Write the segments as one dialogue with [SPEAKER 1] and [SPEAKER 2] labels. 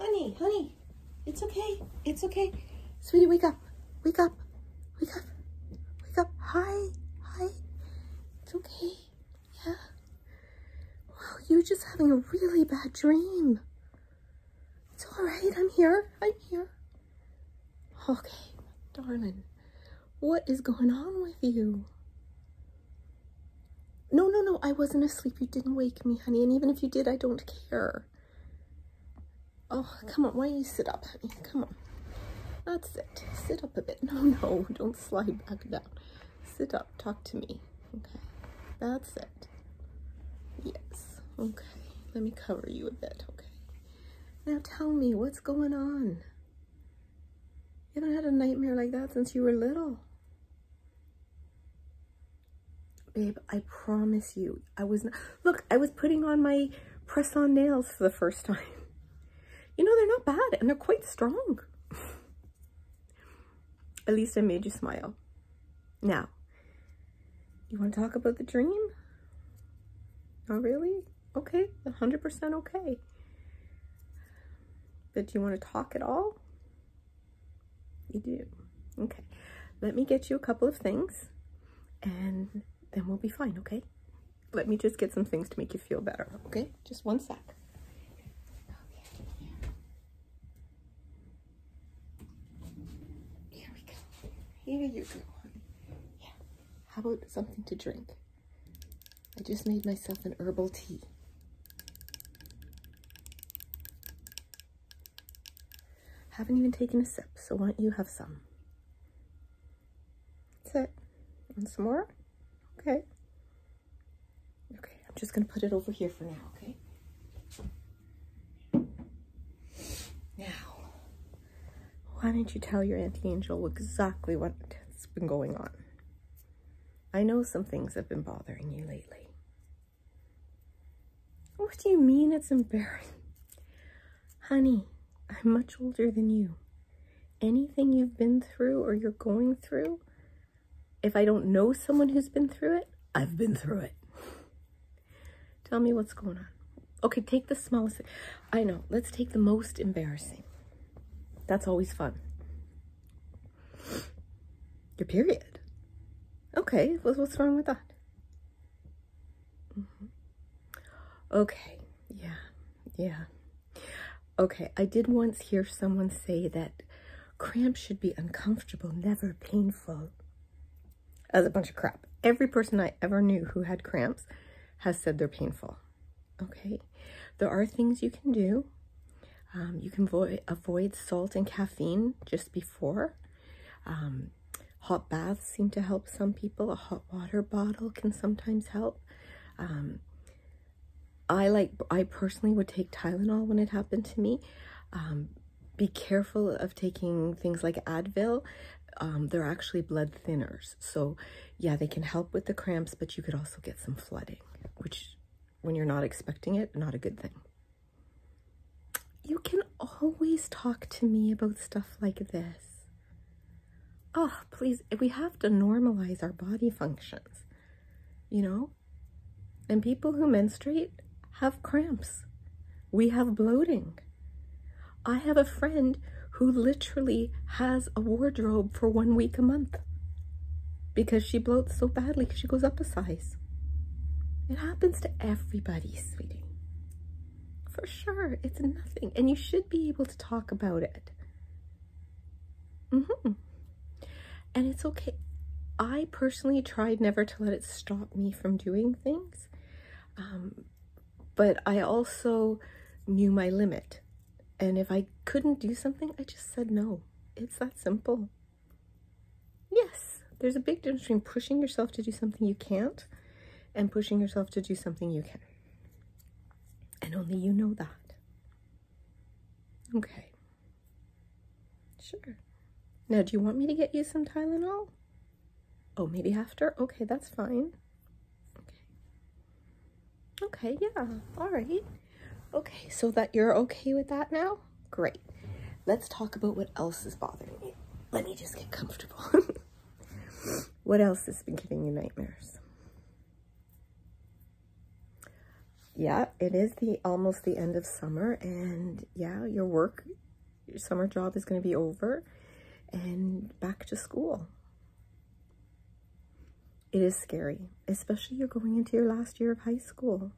[SPEAKER 1] Honey, honey, it's okay. It's okay. Sweetie, wake up. Wake up. Wake up. Wake up. Hi. Hi. It's okay. Yeah. Wow, you're just having a really bad dream. It's all right. I'm here. I'm here. Okay, darling. What is going on with you? No, no, no, I wasn't asleep. You didn't wake me, honey. And even if you did, I don't care. Oh, come on. Why don't you sit up, honey? Come on. That's it. Sit up a bit. No, no, don't slide back down. Sit up. Talk to me. Okay. That's it. Yes. Okay. Let me cover you a bit, okay? Now tell me, what's going on? You haven't had a nightmare like that since you were little. Babe, I promise you, I was not, look, I was putting on my press-on nails for the first time. You know, they're not bad and they're quite strong. At least I made you smile. Now, you want to talk about the dream? Not really? Okay, 100% okay. But do you want to talk at all? You do. Okay. Let me get you a couple of things and then we'll be fine, okay? Let me just get some things to make you feel better, okay? Just one sec. Here we go. Here you go, honey. Yeah. How about something to drink? I just made myself an herbal tea. Haven't even taken a sip, so why don't you have some? That's it. And some more? Okay. Okay, I'm just gonna put it over here for now, okay? Now, why don't you tell your Auntie Angel exactly what's been going on? I know some things have been bothering you lately. What do you mean it's embarrassing? Honey, I'm much older than you. Anything you've been through or you're going through, if I don't know someone who's been through it, I've been through it. Tell me what's going on. Okay, take the smallest. I know. Let's take the most embarrassing. That's always fun. Your period. Okay, what's wrong with that? Mm-hmm. Okay, yeah, yeah. Okay, I did once hear someone say that cramps should be uncomfortable, never painful. That's a bunch of crap. Every person I ever knew who had cramps has said they're painful. Okay, there are things you can do. Um, you can avoid, avoid salt and caffeine just before. Um, hot baths seem to help some people. A hot water bottle can sometimes help. Um, I like, I personally would take Tylenol when it happened to me. be careful of taking things like Advil. they're actually blood thinners. So yeah, they can help with the cramps, but you could also get some flooding, which when you're not expecting it, not a good thing. You can always talk to me about stuff like this. Oh, please, we have to normalize our body functions, you know? And people who menstruate have cramps. We have bloating. I have a friend who literally has a wardrobe for one week a month because she bloats so badly she goes up a size. It happens to everybody, sweetie. For sure, it's nothing. And you should be able to talk about it. Mm-hmm. And it's okay. I personally tried never to let it stop me from doing things. Um, but I also knew my limit. And if I couldn't do something, I just said no. It's that simple. Yes, there's a big difference between pushing yourself to do something you can't and pushing yourself to do something you can. And only you know that. Okay. Sure. Now, do you want me to get you some Tylenol? Oh, maybe after? Okay, that's fine. Okay. Okay, yeah, all right. Okay, so that you're okay with that now? Great. Let's talk about what else is bothering you. Let me just get comfortable. what else has been giving you nightmares? Yeah, it is the almost the end of summer and yeah, your work, your summer job is going to be over and back to school it is scary, especially you're going into your last year of high school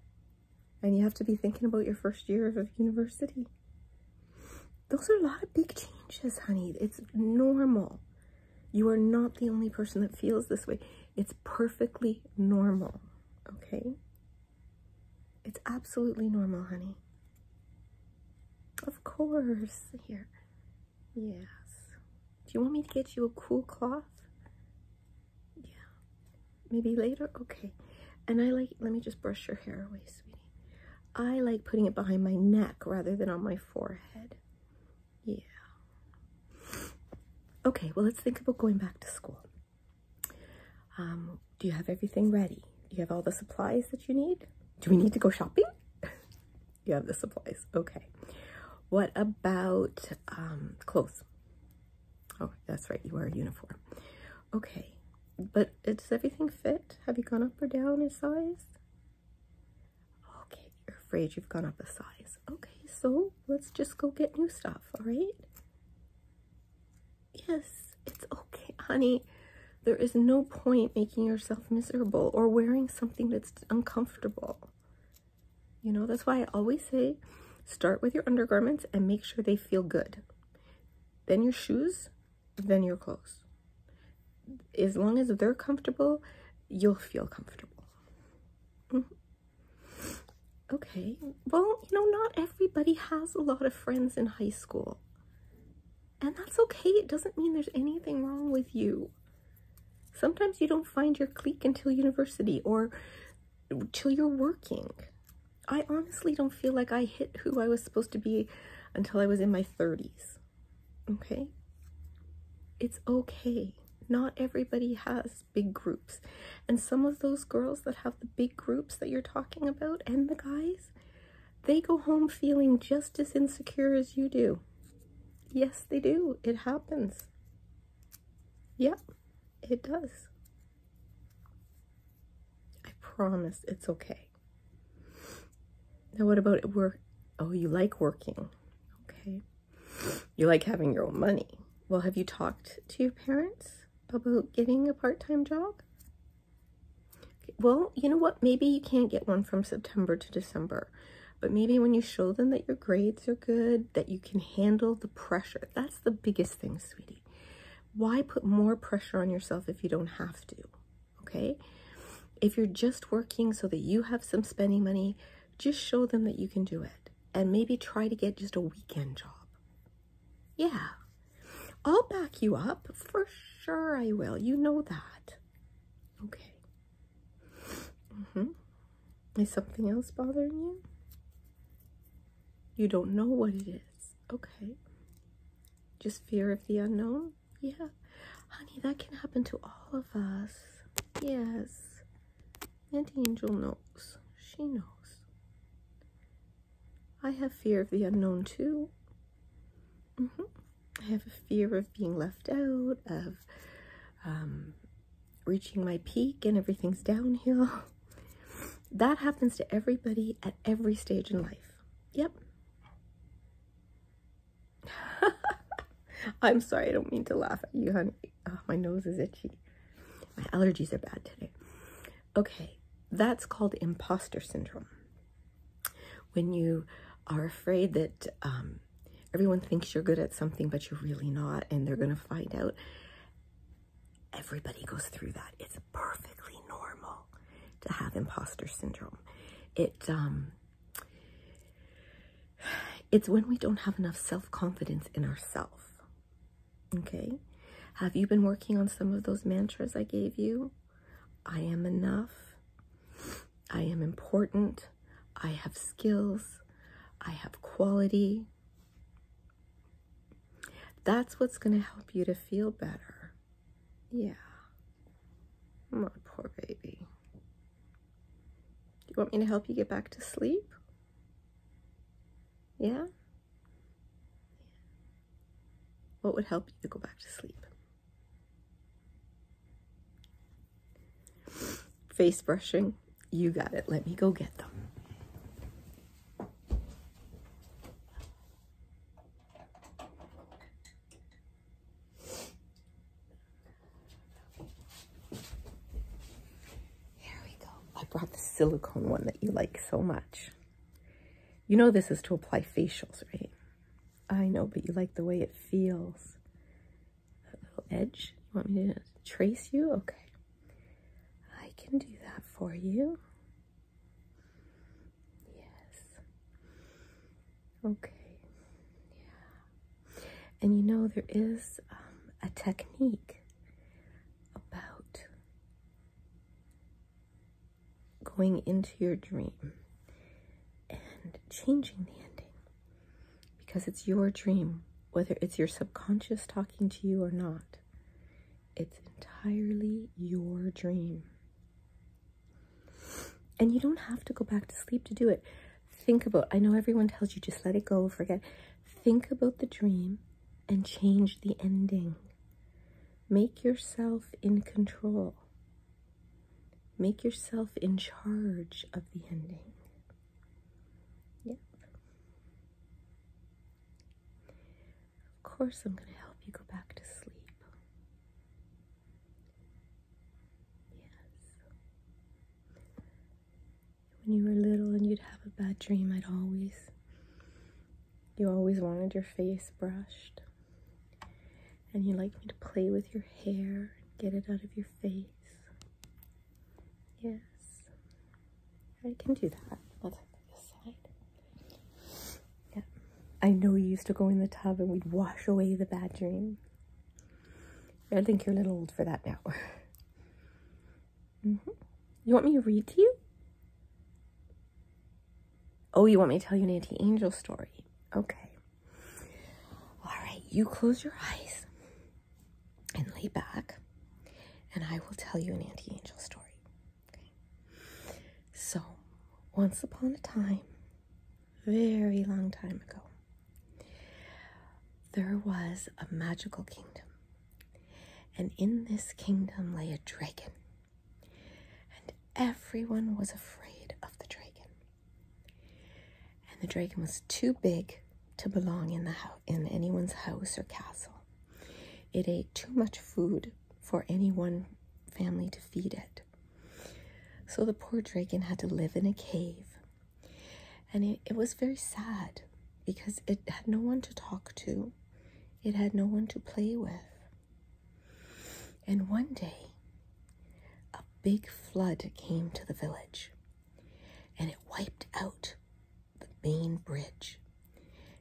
[SPEAKER 1] and you have to be thinking about your first year of university. Those are a lot of big changes, honey. It's normal. You are not the only person that feels this way. It's perfectly normal, okay? It's absolutely normal, honey. Of course. Here. Yes. Do you want me to get you a cool cloth? Yeah. Maybe later? Okay. And I like, let me just brush your hair away, sweetie. I like putting it behind my neck rather than on my forehead. Yeah. Okay, well, let's think about going back to school. Um, do you have everything ready? Do you have all the supplies that you need? Do we need to go shopping? you have the supplies. Okay. What about um, clothes? Oh, that's right, you are uniform. Okay, but does everything fit? Have you gone up or down in size? Okay, you're afraid you've gone up a size. Okay, so let's just go get new stuff, all right? Yes, it's okay, honey. There is no point making yourself miserable or wearing something that's uncomfortable. You know, that's why I always say start with your undergarments and make sure they feel good. Then your shoes, then your clothes. As long as they're comfortable, you'll feel comfortable. Mm-hmm. Okay, well, you know, not everybody has a lot of friends in high school. And that's okay. It doesn't mean there's anything wrong with you. Sometimes you don't find your clique until university or till you're working. I honestly don't feel like I hit who I was supposed to be until I was in my 30s. Okay? It's okay. Not everybody has big groups. And some of those girls that have the big groups that you're talking about and the guys, they go home feeling just as insecure as you do. Yes, they do. It happens. Yep. It does. I promise it's okay. Now, what about at work? Oh, you like working. Okay. You like having your own money. Well, have you talked to your parents about getting a part-time job? Well, you know what? Maybe you can't get one from September to December. But maybe when you show them that your grades are good, that you can handle the pressure. That's the biggest thing, sweetie. Why put more pressure on yourself if you don't have to? Okay? If you're just working so that you have some spending money, just show them that you can do it. And maybe try to get just a weekend job. Yeah. I'll back you up. For sure I will. You know that. Okay. Mm-hmm. Is something else bothering you? You don't know what it is. Okay. Just fear of the unknown? Yeah. Honey, that can happen to all of us. Yes. And Angel knows. She knows. I have fear of the unknown too. Mm-hmm. I have a fear of being left out, of um, reaching my peak and everything's downhill. that happens to everybody at every stage in life. Yep. I'm sorry, I don't mean to laugh at you, honey. Oh, my nose is itchy. My allergies are bad today. Okay, that's called imposter syndrome. When you are afraid that um, everyone thinks you're good at something, but you're really not, and they're going to find out. Everybody goes through that. It's perfectly normal to have imposter syndrome. It um it's when we don't have enough self-confidence in ourselves. Okay? Have you been working on some of those mantras I gave you? I am enough. I am important. I have skills. I have quality. That's what's going to help you to feel better. Yeah. My poor baby. Do You want me to help you get back to sleep? Yeah? What would help you to go back to sleep? Face brushing. You got it. Let me go get them. Here we go. I brought the silicone one that you like so much. You know this is to apply facials, right? I know, but you like the way it feels. That little edge. You want me to trace you? Okay. I can do that for you. Yes. Okay. Yeah. And you know, there is um, a technique about going into your dream and changing the ending because it's your dream whether it's your subconscious talking to you or not, it's entirely your dream. And you don't have to go back to sleep to do it. Think about, I know everyone tells you just let it go, forget. Think about the dream and change the ending. Make yourself in control. Make yourself in charge of the ending. Yep. Of course, I'm going to help you go back to sleep. Yes. When you were little and you'd have a bad dream, I'd always, you always wanted your face brushed. And you liked me to play with your hair and get it out of your face. Yes. I can do that. Let's have this side. Yeah. I know you used to go in the tub and we'd wash away the bad dream. I think you're a little old for that now. Mm-hmm. You want me to read to you? Oh, you want me to tell you an anti-angel story? Okay. All right, you close your eyes and lay back, and I will tell you an anti angel story. So, once upon a time, very long time ago, there was a magical kingdom, and in this kingdom lay a dragon, and everyone was afraid of the dragon. And the dragon was too big to belong in the ho- in anyone's house or castle. It ate too much food for any one family to feed it. So the poor dragon had to live in a cave. And it, it was very sad because it had no one to talk to, it had no one to play with. And one day, a big flood came to the village and it wiped out the main bridge.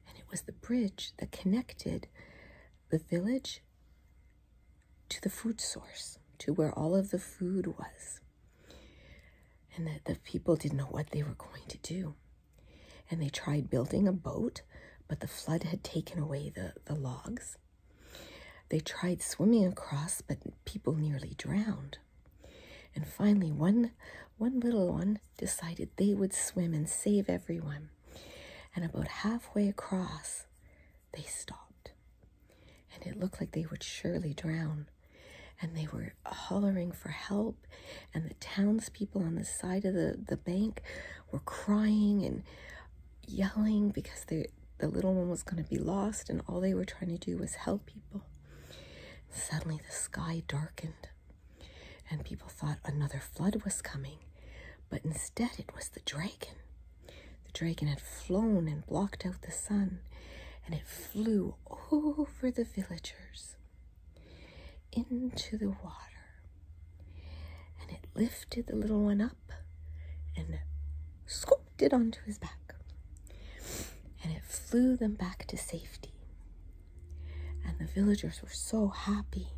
[SPEAKER 1] And it was the bridge that connected the village to the food source, to where all of the food was. And that the people didn't know what they were going to do. And they tried building a boat, but the flood had taken away the, the logs. They tried swimming across, but people nearly drowned. And finally, one, one little one decided they would swim and save everyone. And about halfway across, they stopped. And it looked like they would surely drown. And they were hollering for help. And the townspeople on the side of the, the bank were crying and yelling because they, the little one was going to be lost. And all they were trying to do was help people. Suddenly, the sky darkened and people thought another flood was coming, but instead it was the dragon. The dragon had flown and blocked out the sun, and it flew over the villagers into the water, and it lifted the little one up and scooped it onto his back, and it flew them back to safety. And the villagers were so happy.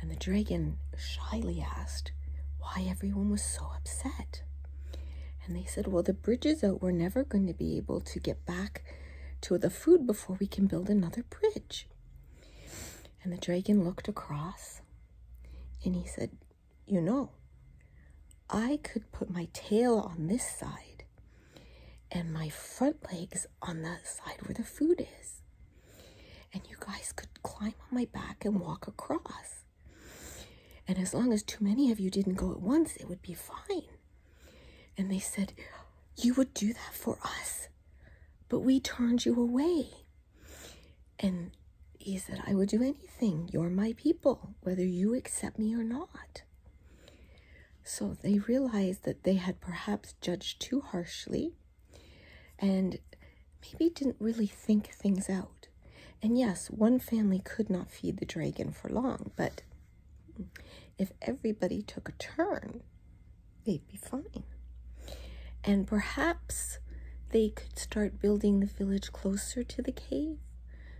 [SPEAKER 1] And the dragon shyly asked why everyone was so upset. And they said, Well, the bridge is out. We're never going to be able to get back to the food before we can build another bridge. And the dragon looked across and he said, You know, I could put my tail on this side and my front legs on that side where the food is. And you guys could climb on my back and walk across. And as long as too many of you didn't go at once, it would be fine. And they said, You would do that for us, but we turned you away. And he said, I would do anything. You're my people, whether you accept me or not. So they realized that they had perhaps judged too harshly and maybe didn't really think things out. And yes, one family could not feed the dragon for long, but if everybody took a turn, they'd be fine. And perhaps they could start building the village closer to the cave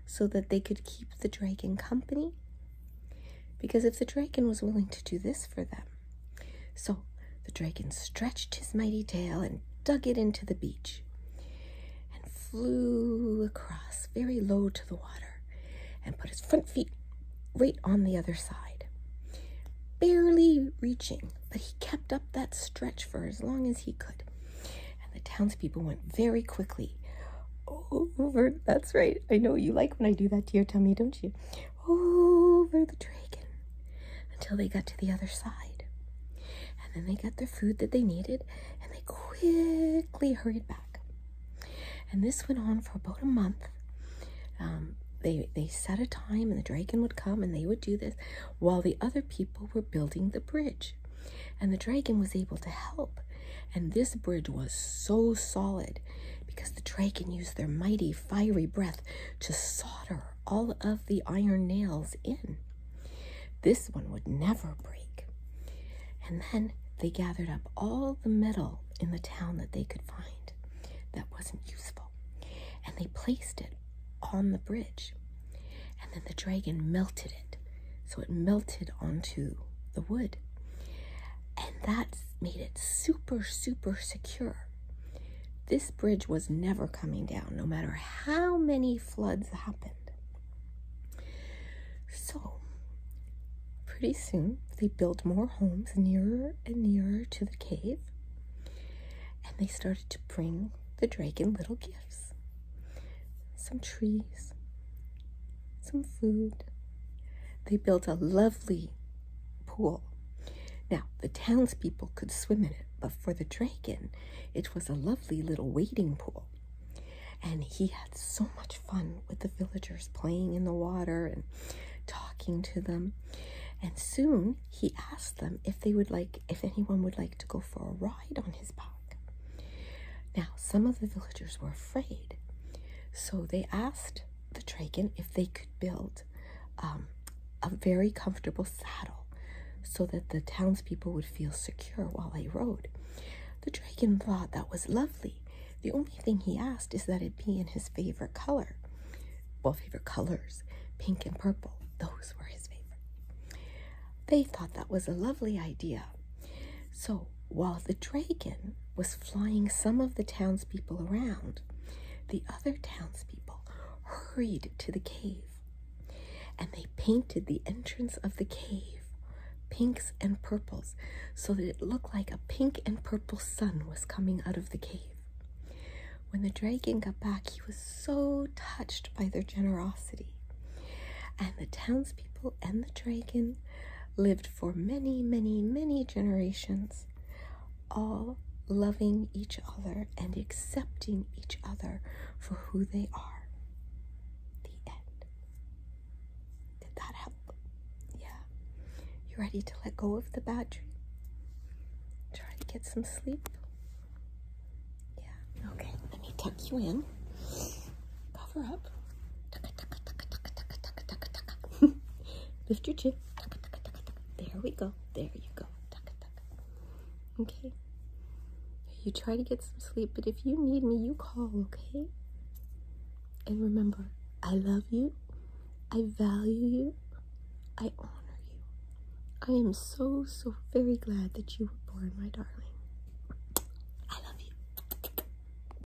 [SPEAKER 1] so that they could keep the dragon company because if the dragon was willing to do this for them. So the dragon stretched his mighty tail and dug it into the beach and flew across very low to the water and put his front feet right on the other side, barely reaching, but he kept up that stretch for as long as he could. And the townspeople went very quickly over. That's right. I know you like when I do that to your tummy, don't you? Over the dragon until they got to the other side. And then they got their food that they needed and they quickly hurried back. And this went on for about a month. Um, they, they set a time and the dragon would come and they would do this while the other people were building the bridge. And the dragon was able to help and this bridge was so solid because the dragon used their mighty fiery breath to solder all of the iron nails in. This one would never break. And then they gathered up all the metal in the town that they could find that wasn't useful, and they placed it on the bridge. And then the dragon melted it, so it melted onto the wood. And that made it super, super secure. This bridge was never coming down, no matter how many floods happened. So, pretty soon, they built more homes nearer and nearer to the cave, and they started to bring the dragon little gifts some trees, some food. They built a lovely pool. Now, the townspeople could swim in it, but for the dragon, it was a lovely little wading pool. And he had so much fun with the villagers playing in the water and talking to them. And soon he asked them if they would like, if anyone would like to go for a ride on his back. Now, some of the villagers were afraid, so they asked the Dragon if they could build um, a very comfortable saddle so that the townspeople would feel secure while they rode. The Dragon thought that was lovely. The only thing he asked is that it be in his favorite color. Well, favorite colors, pink and purple, those were his favorite. They thought that was a lovely idea. So while the dragon was flying some of the townspeople around, the other townspeople hurried to the cave and they painted the entrance of the cave pinks and purples so that it looked like a pink and purple sun was coming out of the cave. When the dragon got back, he was so touched by their generosity. And the townspeople and the dragon lived for many, many, many generations, all loving each other and accepting each other for who they are. The end. Did that help? Yeah. You ready to let go of the battery? Try to get some sleep? Yeah. Okay, let me tuck you in cover up. Lift your chin. There we go. There you go. Okay. You try to get some sleep, but if you need me, you call, okay? And remember, I love you. I value you. I honor you. I am so, so very glad that you were born, my darling.